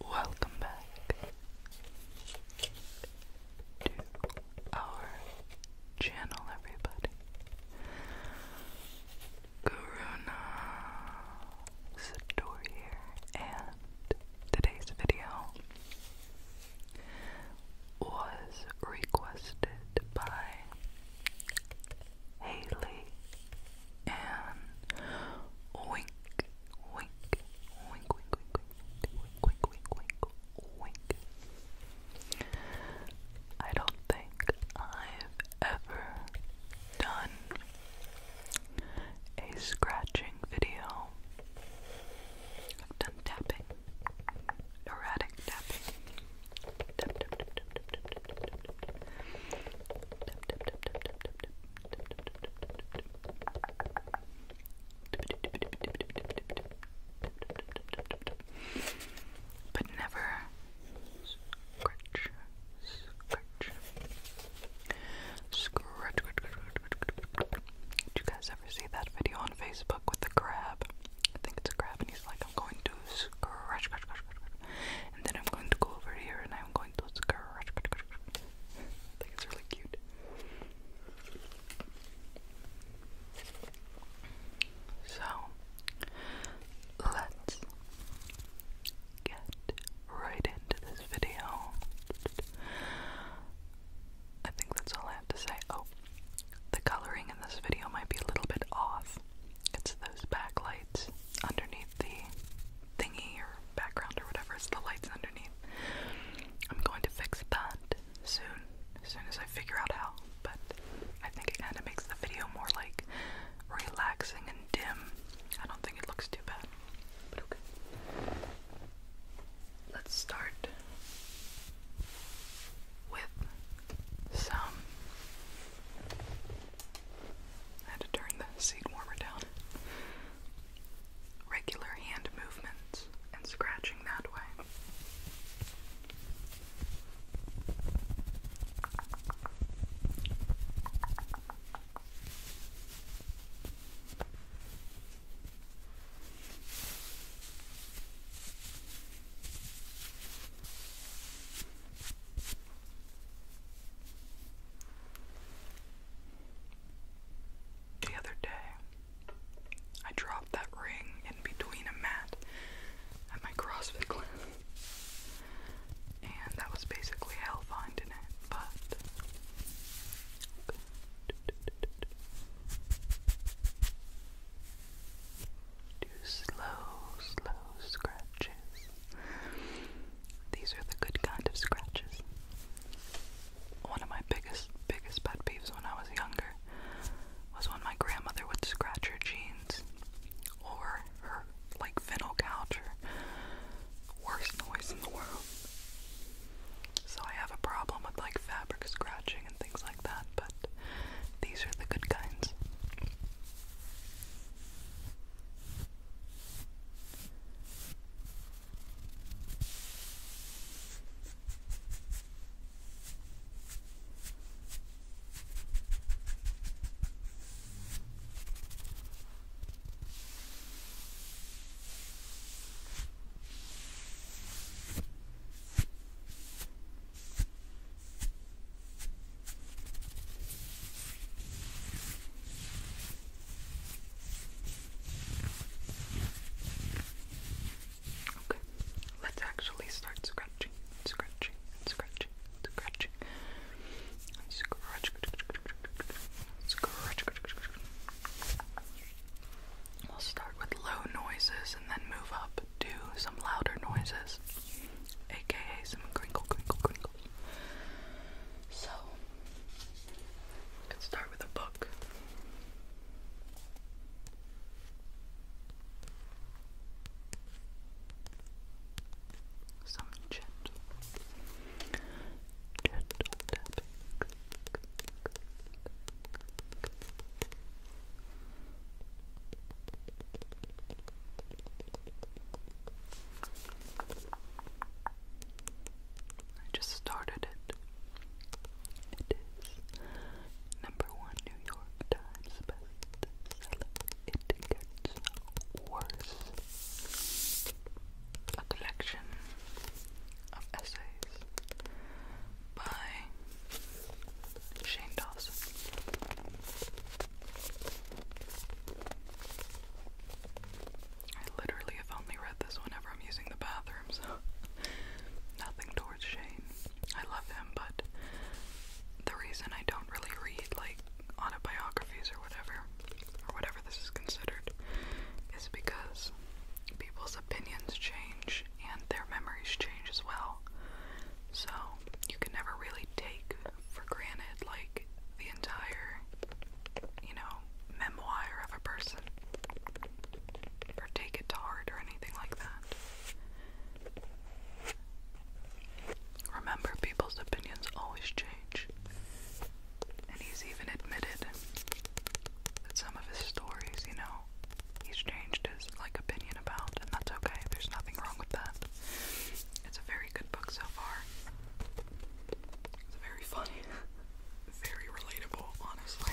Welcome back to our channel, everybody. Karuna Satori here, and today's video was requested by Haley and Wink Wink Wink Wink Wink Wink Wink Wink Wink Wink. I don't think I've ever done a scratching video I've done tapping, erratic tapping. but never scratch, scratch, scratch, ever see that video on Facebook with the crab? I think it's a crab, and he's like, I'm going to scratch, scratch, scratch, scratch, and then I'm going to go over here and I'm going to scratch, scratch, scratch. I think it's really cute. So, let's get right into this video. I think that's all I have to say. Oh, the coloring in this video might be a little bit off. It's those backlights underneath the thingy or background or whatever. It's the lights underneath. I'm going to fix that soon, as soon as I figure out how. But I think it kind of makes the video more like relaxing and dim. I don't think it looks too bad. But okay. Let's start with some. I had to turn the seat warmer down. Regular hand movements and scratching that way. The other day, I dropped that ring in between a mat at my CrossFit class, and that was basically hell finding it, but do slow, slow scratches. These are the good kind of scratches. One of my biggest, biggest pet peeves when I was younger was when my grandmother would scratch her jeans or her like vinyl couch worst noise in the world. So I have a problem with like fabric scratching and things like that, but these are the good kinds. Okay, let's actually start scratching, scratching, scratching, scratching. Scratch, scratch, scratch, scratch. We'll start with low noises and then move up to some louder noises, aka some crinkle, crinkle, crinkle. So, let's start with a book. Some gentle, I just started it. It is number one New York Times bestseller. It gets worse. A collection Essays by Shane Dawson. I literally have only read this whenever I'm using the bathroom, nothing towards Shane. I love him, but the reason I don't really read like autobiographies or whatever, or whatever this is considered, is because people's opinions change and their memories change as well. So you can never really take for granted like the entire, you know, memoir of a person or take it to heart or anything like that. Remember, people's opinions always change. And he's even admitted that some of his stories, you know, he's changed his like opinion about, and that's okay. There's nothing wrong with that. It's a very good book so far. It's very funny. very relatable, honestly.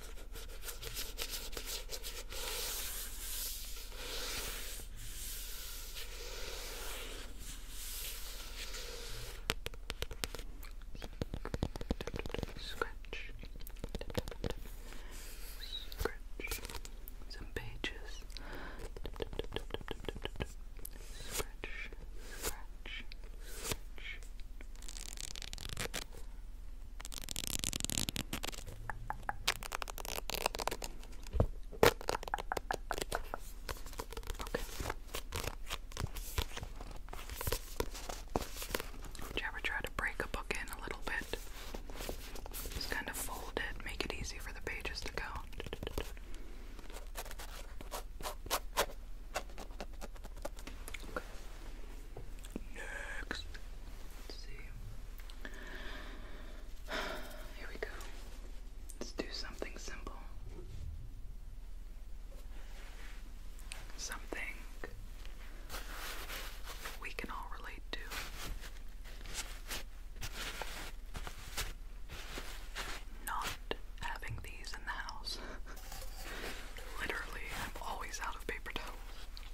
Scratch. Scratch. Some pages. Scratch. Scratch. Scratch. Scratch. Would you ever try to break a book in a little bit? Just kind of fold it, make it easy for the pages to go. Next. Let's see. Here we go. Let's do something simple. Something we can all relate to. Not having these in the house. Literally, I'm always out of paper towels.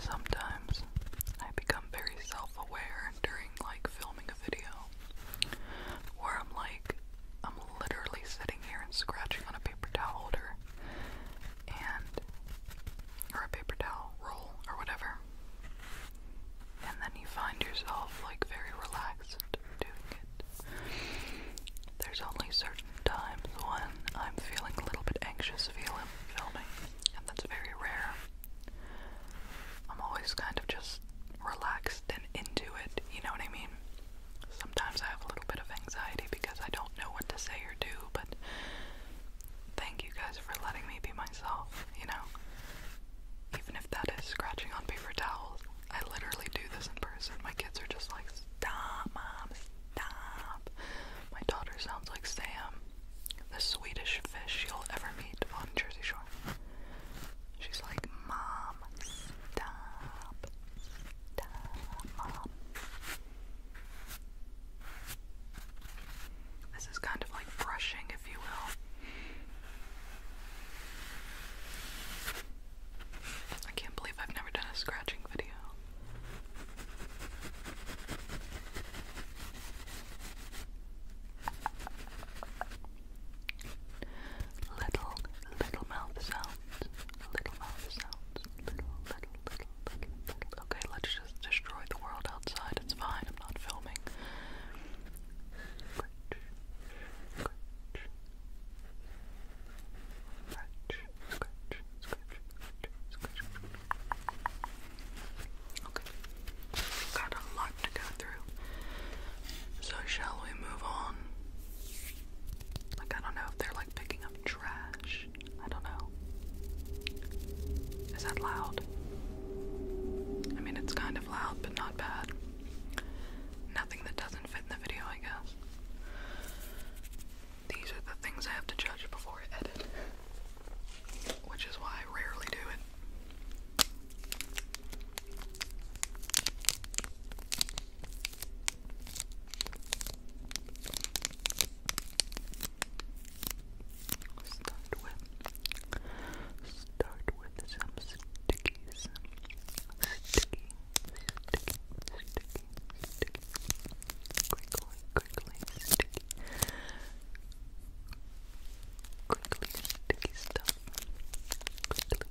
Sometimes I become very self aware during like filming a video where I'm like, I'm literally sitting here and scratching on a paper towel holder or a paper towel roll or whatever. And then you find yourself like very relaxed doing it. There's only certain times when I'm feeling a little bit anxious feeling filming, and that's very rare. I'm always kind of just relaxed and into it, you know what I mean? sometimes I have a little bit of anxiety because I don't know what to say or do, but thank you guys for letting me be myself, you know? Even if that is scratching on paper towels, I literally do this in person. My kids are just like, stop, mom, stop. My daughter sounds like Sam, the Swedish fish you'll ever meet on Jersey Shore. She's like, mom, this is kind of like brushing, if you will. I can't believe I've never done a scratching video. Little, little mouth sounds. Okay, let's just destroy the world outside. It's fine. I'm not filming. Okay, got a lot to go through. So shall we move on? Like, I don't know if they're like picking up trash. I don't know. Is that loud? I mean, it's kind of loud, but not bad. Nothing that doesn't fit in the video, I guess. These are the things I have to judge before I edit, which is why I rarely do it. Start with start with some stickies. Sticky, sticky, sticky, sticky. Crinkly, crinkly, sticky. Crinkly, sticky stuff. Crinkly, sticky, sticky.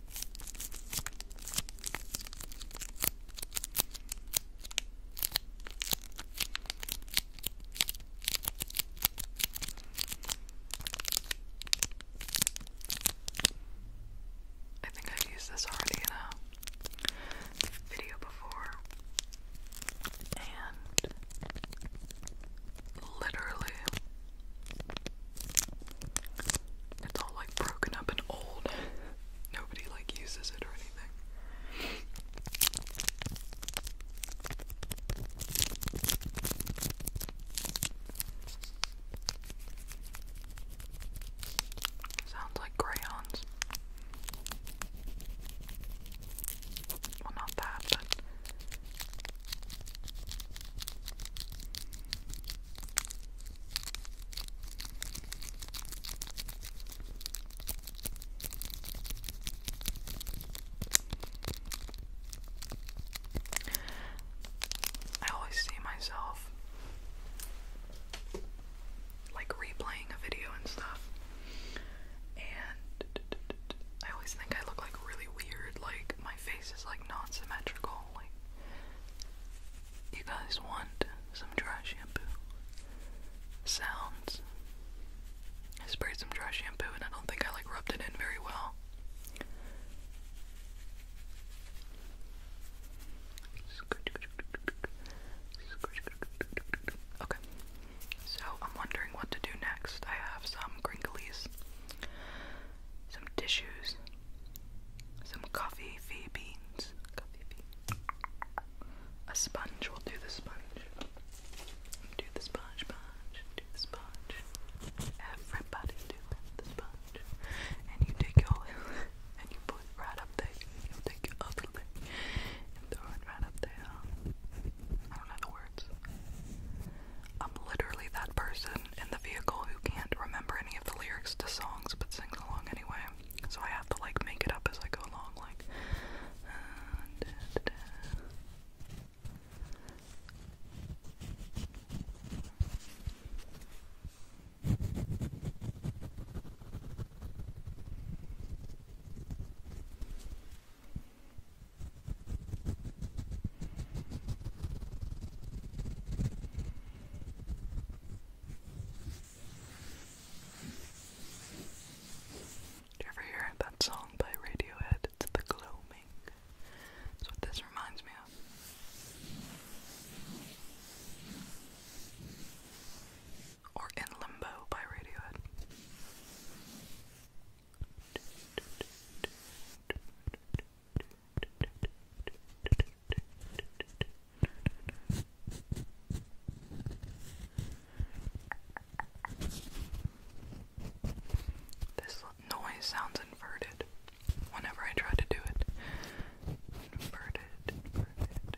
I think I've used this already in a video before, and literally it's all like broken up and old. Nobody like uses it or anything. Sounds like crayons. Well, not that, but I always see myself like replaying a video and stuff, and I always think I look like really weird. Like, my face is like non symmetrical. You guys want some dry shampoo sounds? I sprayed some dry shampoo and I don't think I like rubbed it in very well. Okay, so I'm wondering what to do next. I have some crinklies some tissues, some coffee fee beans, A sponge. will do the sponge. Do the sponge, sponge, do the sponge. Everybody do the sponge. And you take your and you put it right up there. You take your other leg and throw it right up there. I don't know the words. I'm literally that person person in the vehicle who can't remember any of the lyrics to songs but sings along anyway. So I have to like make it up as I go along, like. Do you ever hear that song by Radiohead? It's The Gloaming. That's what this reminds me of. Or In Limbo by Radiohead. This noise sounds inverted whenever I try to do it. Inverted, inverted, inverted.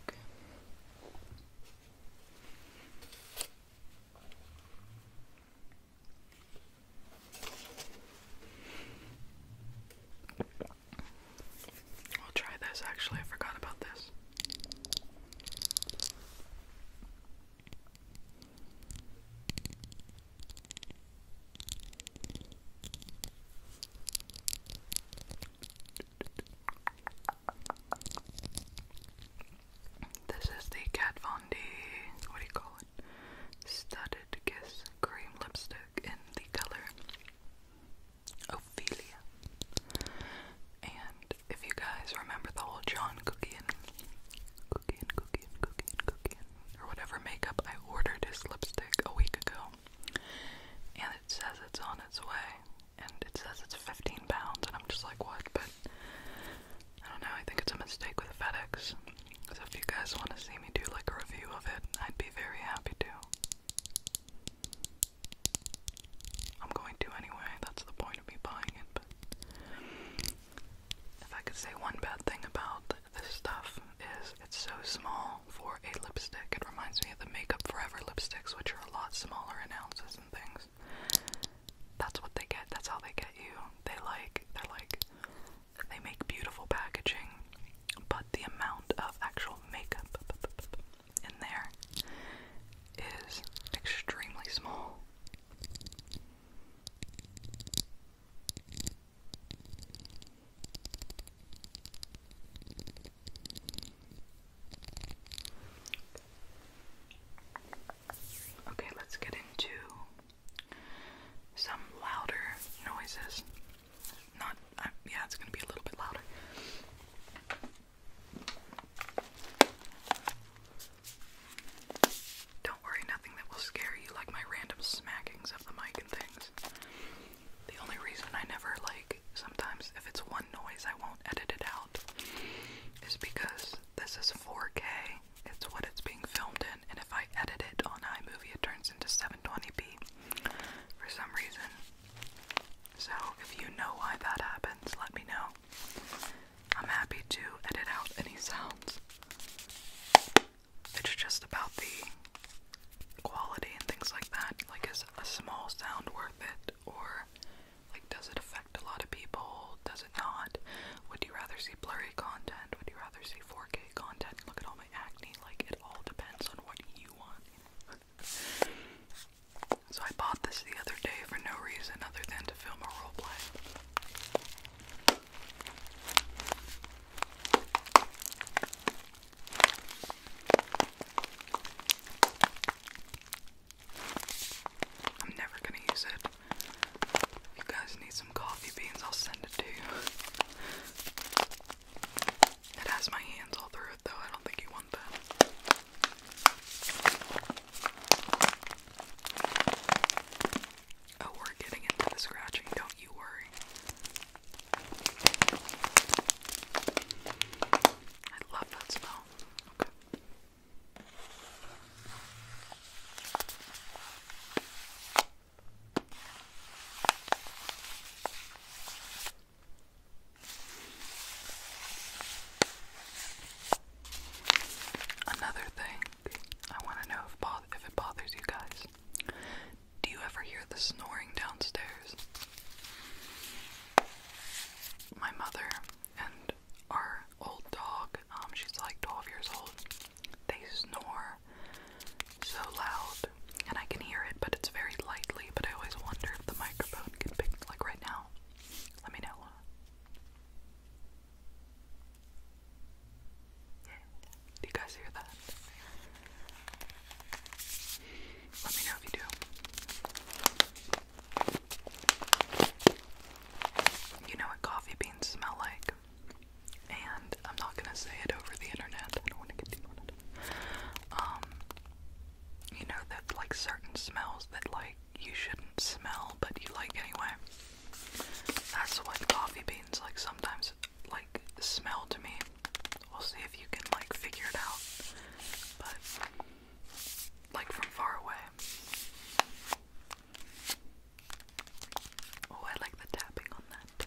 Okay. I'll try this actually. I forgot about this. This is the Kat Von D, what do you call it? Studded Kiss Cream Lipstick in the color Ophelia. And if you guys remember the whole John Cookie and Cookie and cookie and cookie and cookie and or whatever makeup I ordered is lipstick a week ago. And it says it's on its way. And it says it's 15 pounds, and I'm just like, what? But I don't know, I think it's a mistake with FedEx. So if you guys want to see me do like a review of it, I'd be very happy to. I'm going to anyway, that's the point of me buying it, but if I could say one bad thing about this stuff is it's so small for a lipstick. It reminds me of the Makeup Forever lipsticks, which are a lot smaller in ounces and things. That's what they get. That's how they get you. They like they're like they make beautiful packaging, but the amount of actual makeup in there is extremely small. Okay, let's get into some louder noises. Not, uh, yeah, it's gonna be a little bit louder. Don't worry, nothing that will scare you like my random smacking the mic and things. The only reason I never like sometimes if it's one noise I won't edit it out is because this is 4K. It's what it's being filmed in, and if I edit it on iMovie, it turns into 720p for some reason. So if you know why that happens, let me know. I'm happy to edit out any sounds. It's just about the quality and things like that. Like, is a small sound worth it? Or, like, does it affect a lot of people? Does it not? Would you rather see blurry content? Would you rather see 4K content? Look at all my acne. Like, it all depends on what you want. so, I bought this the other day for no reason other than to film a roleplay. I'm never gonna use it. If you guys need some coffee beans, I'll send it to you. It has my hands all through it though, I don't think you want that. Oh, we're getting into the scratching, don't you worry. I love that smell. Okay. Another thing, I want to know if, it bothers you guys. Do you ever hear the snoring downstairs? My mother and our old dog, um, she's like 12 years old, they snore so loud, and I can hear it, but it's very lightly. But I always wonder if the microphone can pick, like right now. Let me know. Do you guys hear that? Let me know if you do. You know what coffee beans smell like, and I'm not gonna say it over the internet. I don't want to get too Um, you know that like certain smells that like you shouldn't smell, but you like anyway. That's what coffee beans like. Sometimes like smell to me. We'll see if you can like figure it out. But like from far away. Oh, I like the tapping on that.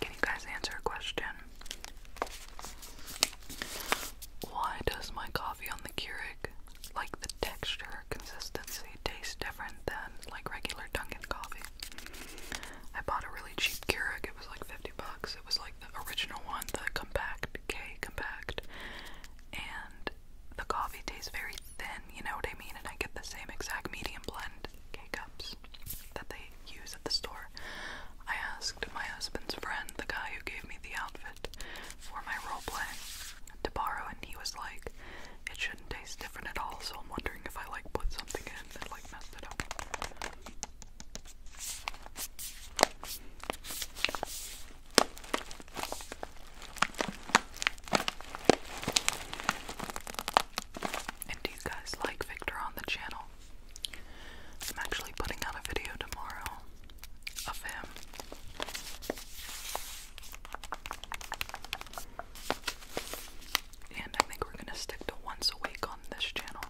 Can you guys answer a question? Why does my coffee on the Keurig, like the texture, consistency, taste different than like regular Dunkin' coffee? I bought a really cheap Keurig. It was like 50 bucks. It was like the original one, the compact K compact. And the coffee tastes very thin, you know what I mean? And I get the same exact medium blend K cups that they use at the store. I asked my husband's friend, the guy who gave me the outfit for my role play, to borrow, and he was like, it shouldn't taste different at all, so I'm wondering if I like put something in that like messed it up. And do you guys like Victor on the channel? I'm actually putting out a video tomorrow of him and I think we're gonna stick to once a week on this channel.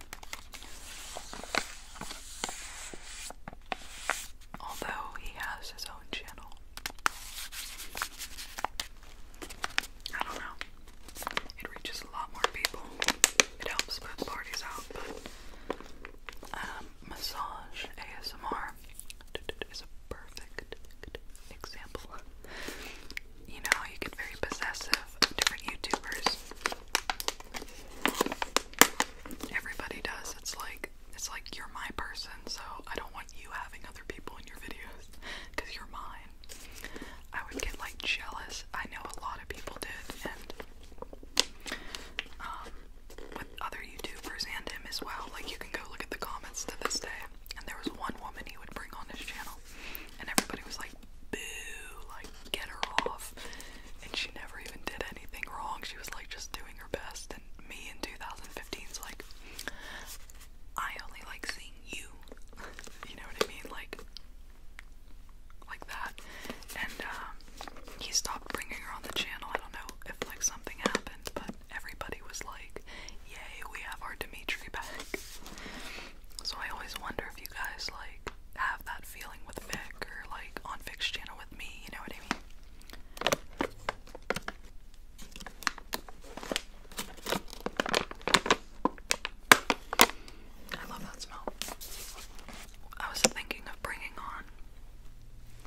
Although he has his own channel. I don't know. It reaches a lot more people. It helps parties out, um, massage ASMR is a perfect example you know, you get very possessive of different YouTubers. Everybody does. It's like it's like you're my person, so I don't want you having other people in your videos because you're mine. I would get like jealous. I know a lot of people did, and um, with other YouTubers and him as well. Like you can go look at the comments to this day. And there was one woman he would bring on his channel and everybody was like, boo, like, get her off. And she never even did anything wrong. She was like just doing her best. And me in two thousand fifteen is like, I only like seeing you. you know what I mean? Like, like that. And um, he stopped bringing her on the channel. I don't know if like something happened, but everybody was like, yay, we have our Dimitri back. So I always wonder if you guys like have that feeling with Vic or like on Vic's channel with me, you know what I mean? I love that smell. I was thinking of bringing on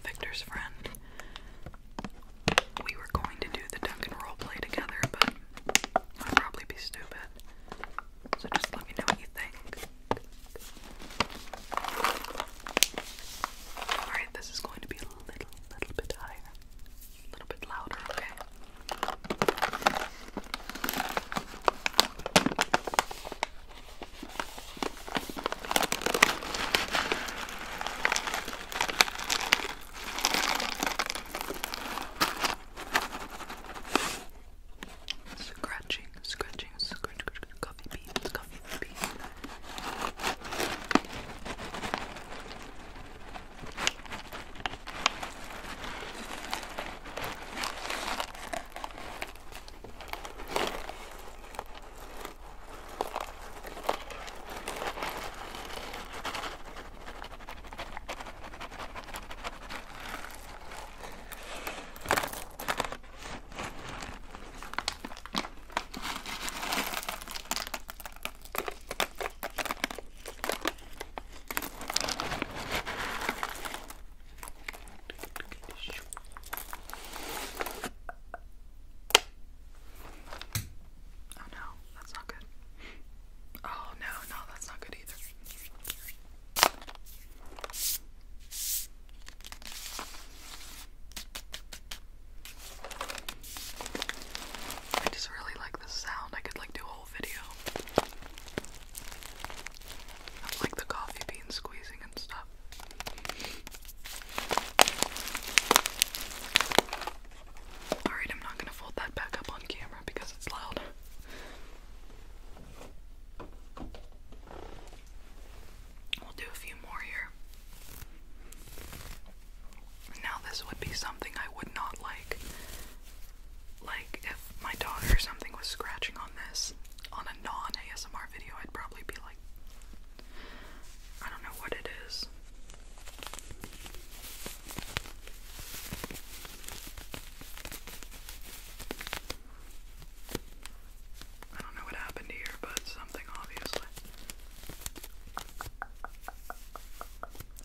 Victor's friend. We were going to do the duck and roll play together, but I'd probably be stupid. So just let me know what you think. Alright, this is going to be a little, little bit higher. A little bit louder, okay? Scratching, scratching, scratch, coffee beans, coffee beans. Oh no, that's not good. Oh no, no, that's not good either. I just really like the sound. I could like do a whole video of like the coffee bean squeezing and stuff. Alright, I'm not gonna fold that back up on camera because it's loud. We'll do a few more here. Now, this would be something I would not like. Like, if my daughter or something was scratching on this on a non ASMR video, I'd probably be like, I don't know what it is. I don't know what happened here, but something obviously.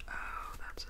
Oh, that's it.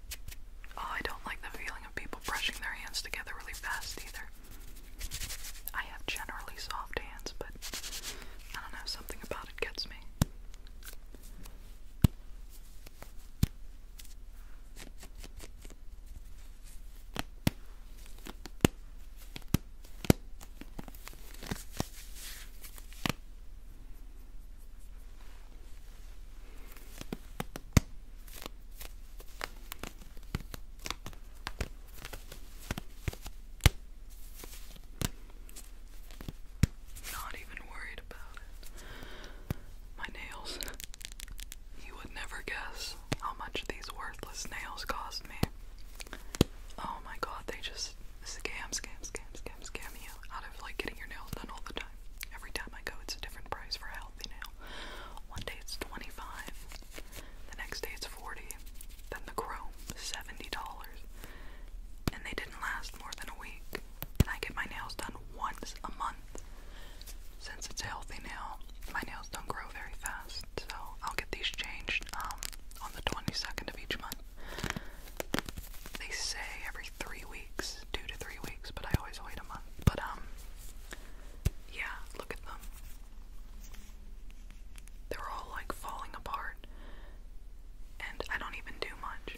Oh, I don't like the feeling of people brushing their hands together really fast either. I have generally soft hands, but I don't know, something about it gets me. Not even worried about it. My nails. You would never guess how much these worthless nails cost me. Oh my god, they just scam, scam, scam, scam, scam you out of like getting your nails done all the time. Every time I go, it's a different price for healthy nail. One day it's 25 the next day it's 40 then the chrome, $70. And they didn't last more than a week. And I get my nails done once a month. Since it's healthy nail, my nails don't grow very fast. So I'll get these changed um, on the 22nd of each month. They say every three weeks two to three weeks, but I always wait a month. But, um, yeah, look at them. They're all like falling apart, and I don't even do much.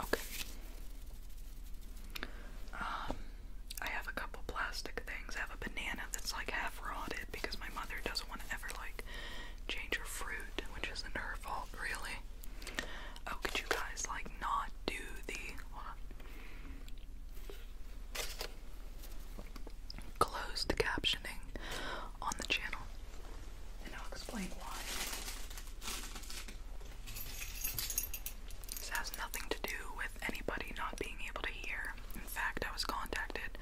Okay. Um, I have a couple plastic things. I have a banana that's like half rotted because my mother doesn't want to ever like change her fruit which isn't her fault, really. Oh, could you guys, like, not do the closed captioning on the channel? And I'll explain why. This has nothing to do with anybody not being able to hear. In fact, I was contacted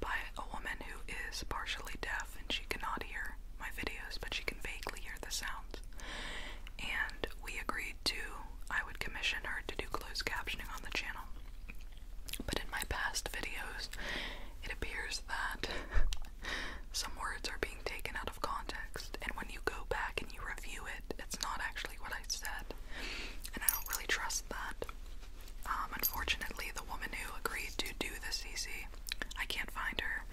by a woman who is partially deaf and she cannot hear hear my videos, but she can vaguely hear the sounds. And we agreed to, I would commission her to do closed captioning on the channel. But in my past videos, it appears that some words are being taken out of context, and when you go back and you review it, it's not actually what I said. And I don't really trust that. Um, unfortunately, the woman who agreed to do the CC I can't find her.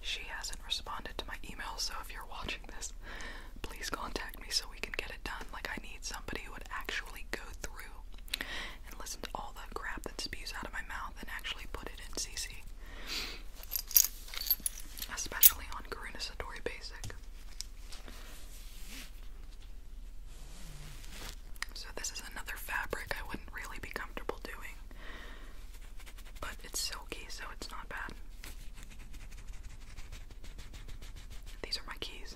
She hasn't responded to my email, so if you're watching this, please contact me so we can get it done. Like, I need somebody who would actually go through and listen to all the crap that spews out of my mouth and actually put it in CC. Especially on Karuna Satori Basic. So this is another fabric I wouldn't really be comfortable doing. But it's silky, so it's not bad. These are my keys.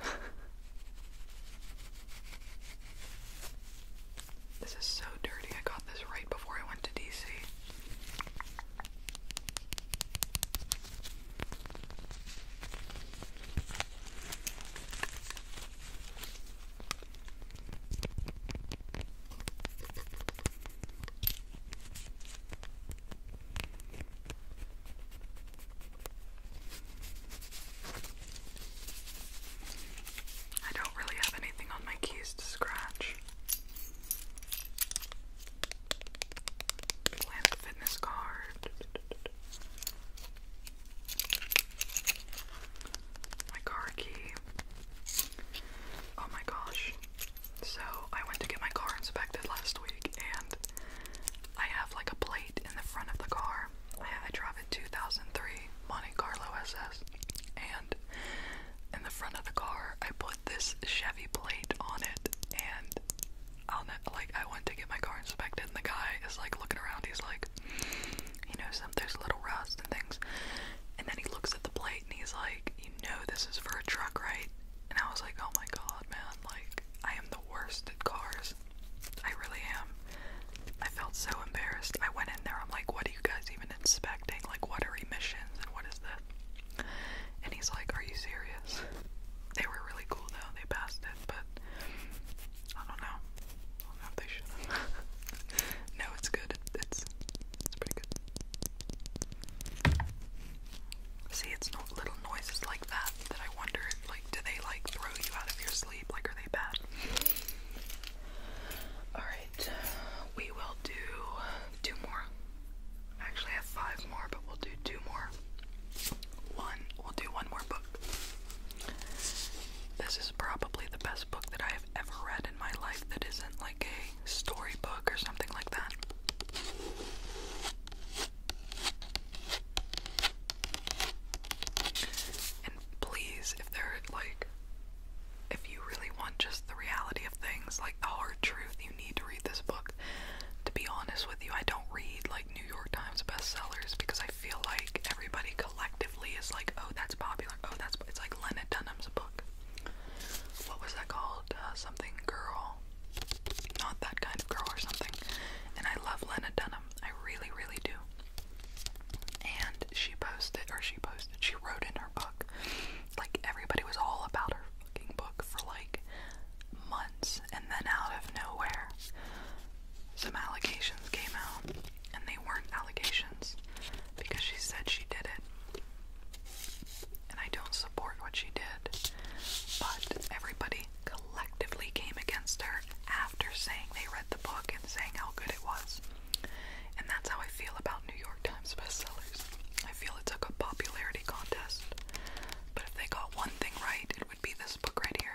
this is so dirty. I got this right before I went to DC. I don't really have anything on my keys to scratch. Planet Fitness card. My car key. Oh my gosh. So, I went to get my car inspected last week and I have like a plate in the front of the car. I, I drive a 2003 Monte Carlo SS and in the front of the car I put this Chevy plate on it and I'll like I went to get my car inspected and the guy is like looking around. He's like like, you know, some there's a little rust and things. And then he looks at the plate and he's like, you know, this is for a truck, right? And I was like, oh my god, man, like, I am the worst at cars. I really am. I felt so embarrassed. I went in there, I'm like, what are you guys even inspecting? Like, what are emissions and what is this? And he's like, are you serious? They were really cool though, they passed it, but I don't know. I don't know if they should no, it's good. It's it's pretty good. See, it's little noises like that that I wonder like, do they like throw you out of your sleep? Like, are they bad? Alright, we will do two more. I actually have five more, but we'll do two more. One, we'll do one more book. This is probably the best book that I have ever read in my life that isn't like a storybook or something like that. And please, if there like if you really want just the reality of things, like the hard truth, you need to read this book. To be honest with you, I don't read like New York Times bestsellers because I I feel like everybody collectively is like, oh, that's popular. Oh, that's it's like Lena Dunham's book. What was that called? Uh, something girl, not that kind of girl or something. And I love Lena Dunham. I really, really do. And she posted, or she posted, she wrote in her book. Like everybody was all about her fucking book for like months, and then out of nowhere, some allegations came out, and they weren't allegations because she said she did it. And I don't support what she did, but everybody collectively came against her after saying they read the book and saying how good it was. And that's how I feel about New York Times bestsellers. I feel it's like a popularity contest, but if they got one thing right, it would be this book right here.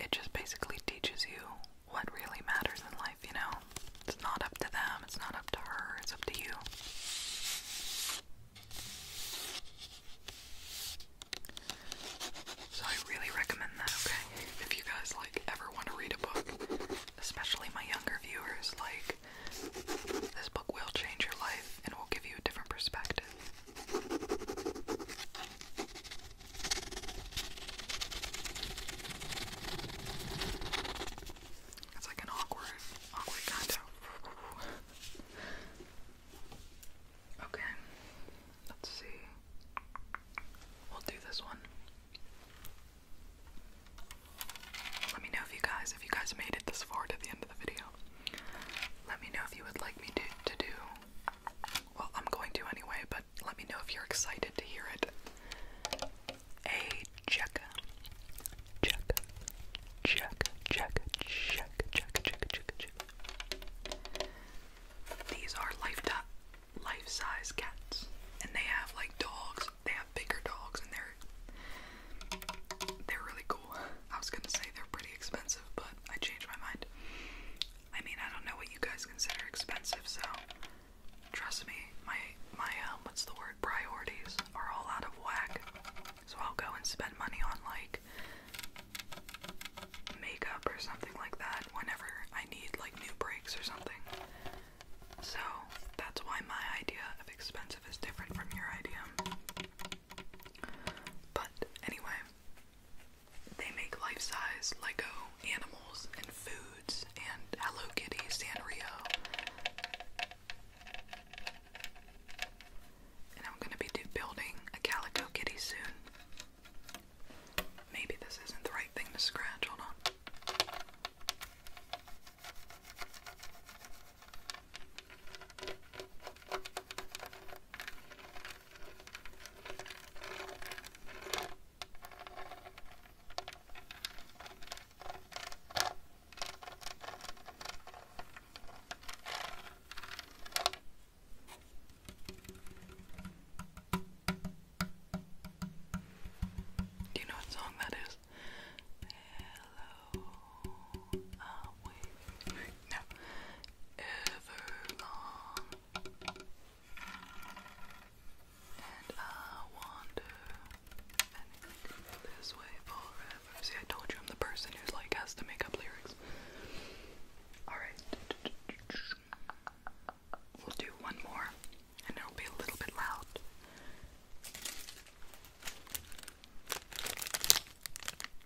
It just basically teaches you what really matters in life, you know? It's not up to them, it's not up to her, it's up to you. So I really recommend that, okay? If you guys like ever want to read a book, especially my younger viewers, like this book will change your life and will give you a different perspective. It's like an awkward, awkward kind of. okay, let's see. We'll do this one. Let me know if you guys, if you guys made it this far to the end of the video. Let me know if you would like me to, to do well, I'm going to anyway, but let me know if you're excited to hear it. A check. Check. Check. Check. Check. Check. Check. Check. Check. These are life-size cats, and they have like dogs. They have bigger dogs, and they're they're really cool. I was gonna say they're pretty expensive, but I changed my mind. I mean, I don't know what you guys consider expensive, so trust me, my my um, what's the word? Priorities are all out of whack. So I'll go and spend money on like makeup or something like that whenever I need like new breaks or something. So that's why my idea of expensive is different from your idea. But anyway, they make life size Lego animals and foods and Hello Kitty Sanrio. And I'm gonna be building a Calico Kitty soon. Maybe this isn't the right thing to scratch, hold on. Do you know what song that is? see I told you I'm the person who's like has to make up lyrics alright we'll do one more and it'll be a little bit loud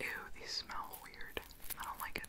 Ew, these smell weird. I don't like it.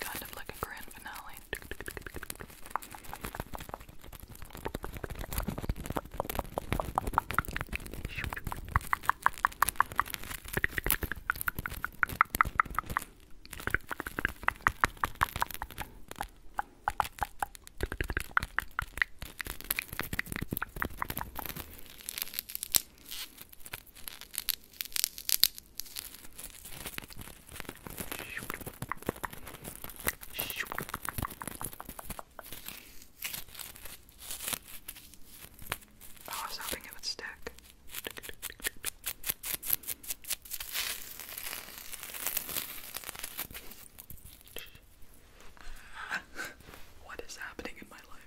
Kind of like a grand finale. Oh, I was hoping it would stick. what is happening in my life?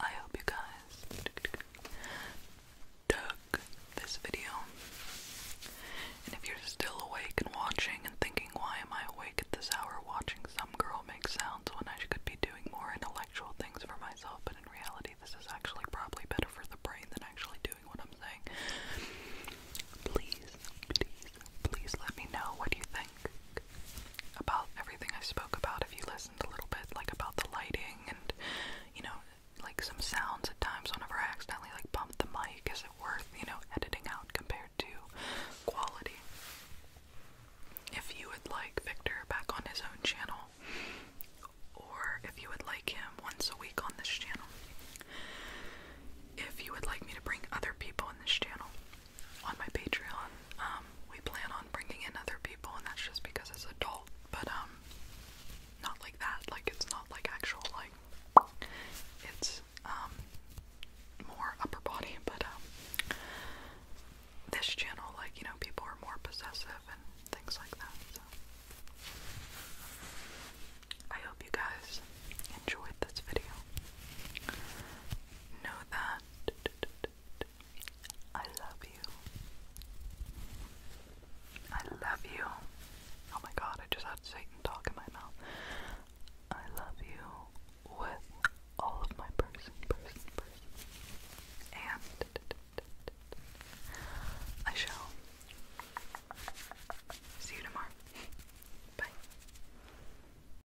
I hope you guys dug this video. And if you're still awake and watching and thinking, why am I awake at this hour watching some girl make sounds when I could be doing more intellectual things for myself, but in reality, this is actually probably better for the brain than actually doing what I'm saying. Please, please, please let me know what you think about everything I spoke about if you listened a little bit, like about the lighting and you know, like some sounds at times whenever I accidentally like bumped the mic, is it worth, you know, editing out compared to quality? If you would like Victor back on his own channel, or if you would like him once a week on this channel. If you would like me to bring other people in this channel, on my Patreon. Um, we plan on bringing in other people, and that's just because it's adult, but um, not like that. Like it's not like actual like it's um, more upper body, but um, this channel, like you know, people are more possessive and things like that. So I hope you guys enjoyed this video. Know that I love you. I love you. Oh my god, I just had Satan talk in my mouth. I love you with all of my person, person, person. And I shall see you tomorrow. Bye.